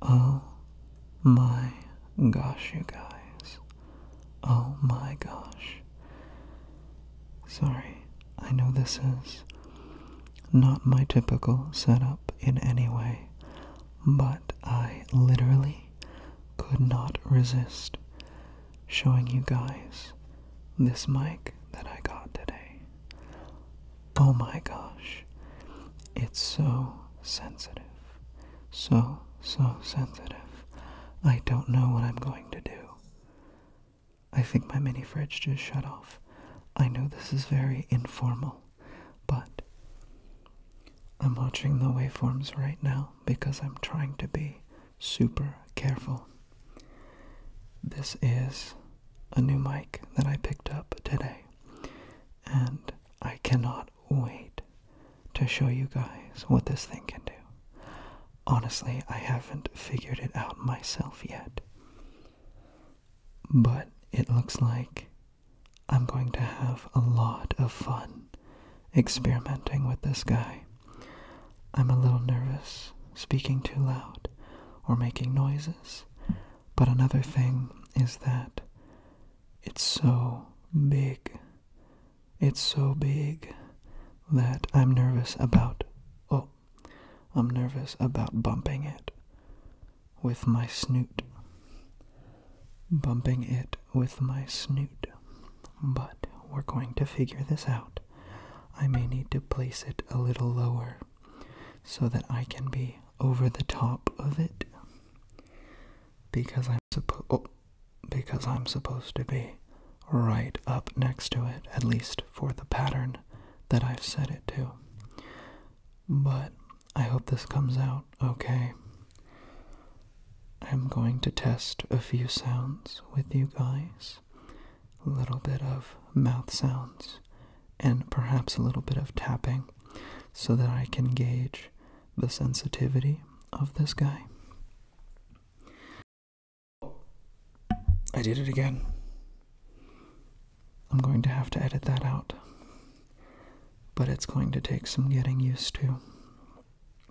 Oh my gosh, you guys. Oh my gosh. Sorry, I know this is not my typical setup in any way, but I literally could not resist showing you guys this mic that I got today. Oh my gosh. It's so sensitive. So, so sensitive. I don't know what I'm going to do. I think my mini fridge just shut off. I know this is very informal, but I'm watching the waveforms right now because I'm trying to be super careful. This is a new mic that I picked up today. And I cannot wait to show you guys what this thing can do. Honestly, I haven't figured it out myself yet. But it looks like I'm going to have a lot of fun experimenting with this guy. I'm a little nervous speaking too loud, or making noises. But another thing is that it's so big. It's so big that I'm nervous about. Oh, I'm nervous about bumping it with my snoot. Bumping it with my snoot. But we're going to figure this out. I may need to place it a little lower so that I can be over the top of it because I'm supposed oh, because I'm supposed to be right up next to it at least for the pattern that I've set it to. But I hope this comes out okay. I'm going to test a few sounds with you guys little bit of mouth sounds and perhaps a little bit of tapping so that I can gauge the sensitivity of this guy. I did it again. I'm going to have to edit that out, but it's going to take some getting used to.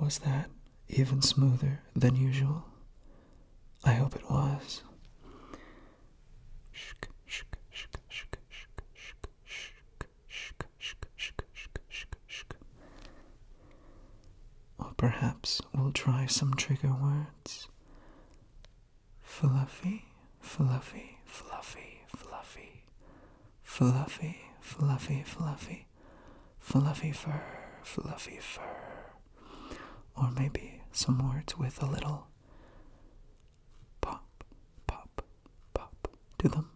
Was that even smoother than usual? I hope it was. Or perhaps we'll try some trigger words. Fluffy, fluffy, fluffy, fluffy. Fluffy, fluffy, fluffy. Fluffy fur, fluffy fur. Or maybe some words with a little pop, pop, pop to them.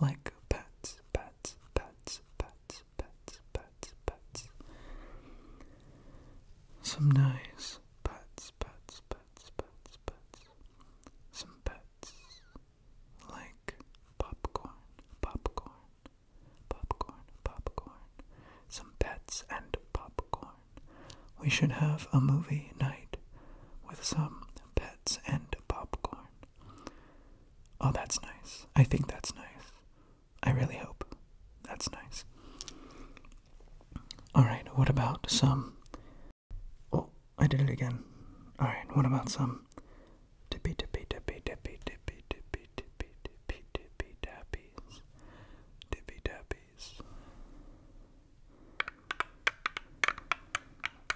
Like pats, pats, pats, pats, pets, pets, pets, Some nice pets, pets, pets, pets, pets. Some pets like popcorn, popcorn, popcorn, popcorn. Some pets and popcorn. We should have a movie night with some pets and popcorn. Oh, that's nice. I think that's nice. I really hope that's nice. Alright, what about some. Oh, I did it again. Alright, what about some. Tippy, tippy, tippy, tippy, tippy, tippy, tippy, tippy, tippy, tappies. Tippy tappies.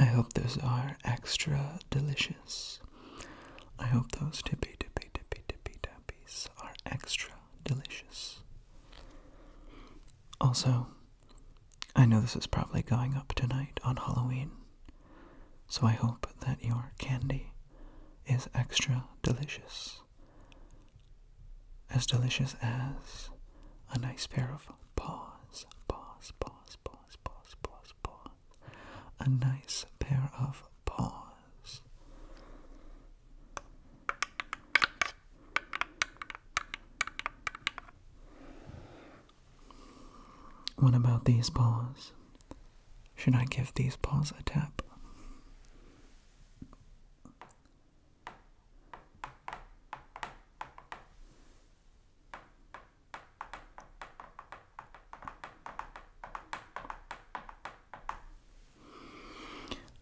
I hope those are extra delicious. I hope those tippy tippy tippy tippy tappies are extra delicious. Also, I know this is probably going up tonight on Halloween, so I hope that your candy is extra delicious. As delicious as a nice pair of paws, paws, paws, paws paws, paws, paws, paws. A nice pair of paws. What about these paws? Should I give these paws a tap?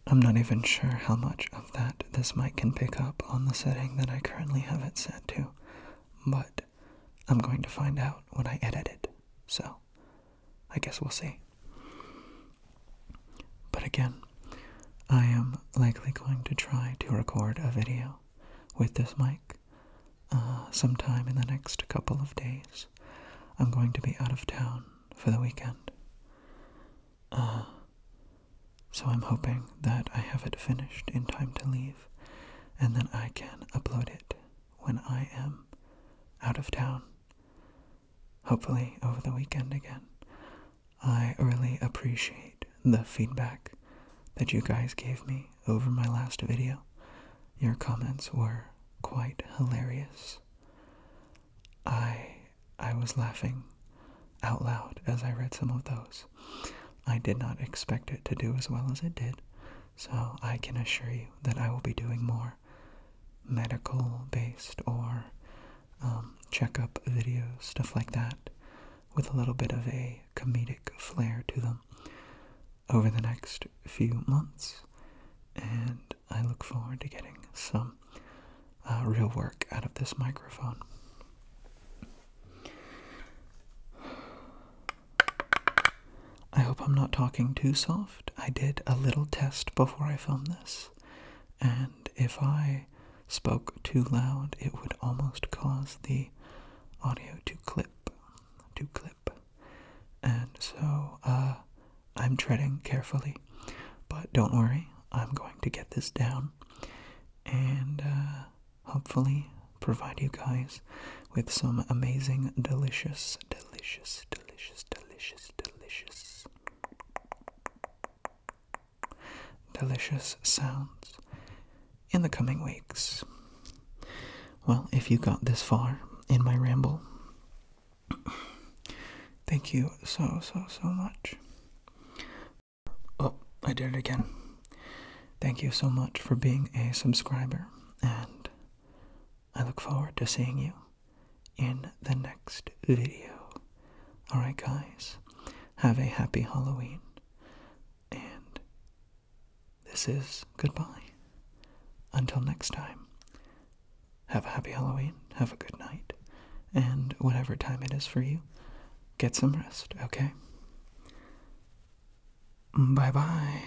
I'm not even sure how much of that this mic can pick up on the setting that I currently have it set to, but I'm going to find out when I edit it, so I guess we'll see. But again, I am likely going to try to record a video with this mic uh, sometime in the next couple of days. I'm going to be out of town for the weekend. Uh, so I'm hoping that I have it finished in time to leave and then I can upload it when I am out of town. Hopefully over the weekend again. I really appreciate the feedback that you guys gave me over my last video. Your comments were quite hilarious. I I was laughing out loud as I read some of those. I did not expect it to do as well as it did, so I can assure you that I will be doing more medical based or um, checkup videos, stuff like that, with a little bit of a comedic flair to them over the next few months. And I look forward to getting some uh, real work out of this microphone. I hope I'm not talking too soft. I did a little test before I filmed this, and and if I spoke too loud, it would almost cause the audio to clip, to clip. And so, uh, I'm treading carefully, but don't worry, I'm going to get this down and uh, hopefully provide you guys with some amazing, delicious, delicious, delicious, delicious, delicious delicious sounds in the coming weeks. Well, if you got this far in my ramble, thank you so, so, so much. Oh, I did it again. Thank you so much for being a subscriber, and I look forward to seeing you in the next video. Alright, guys, have a happy Halloween, and this is goodbye. Until next time, have a happy Halloween, have a good night, and whatever time it is for you, get some rest, okay? Bye bye.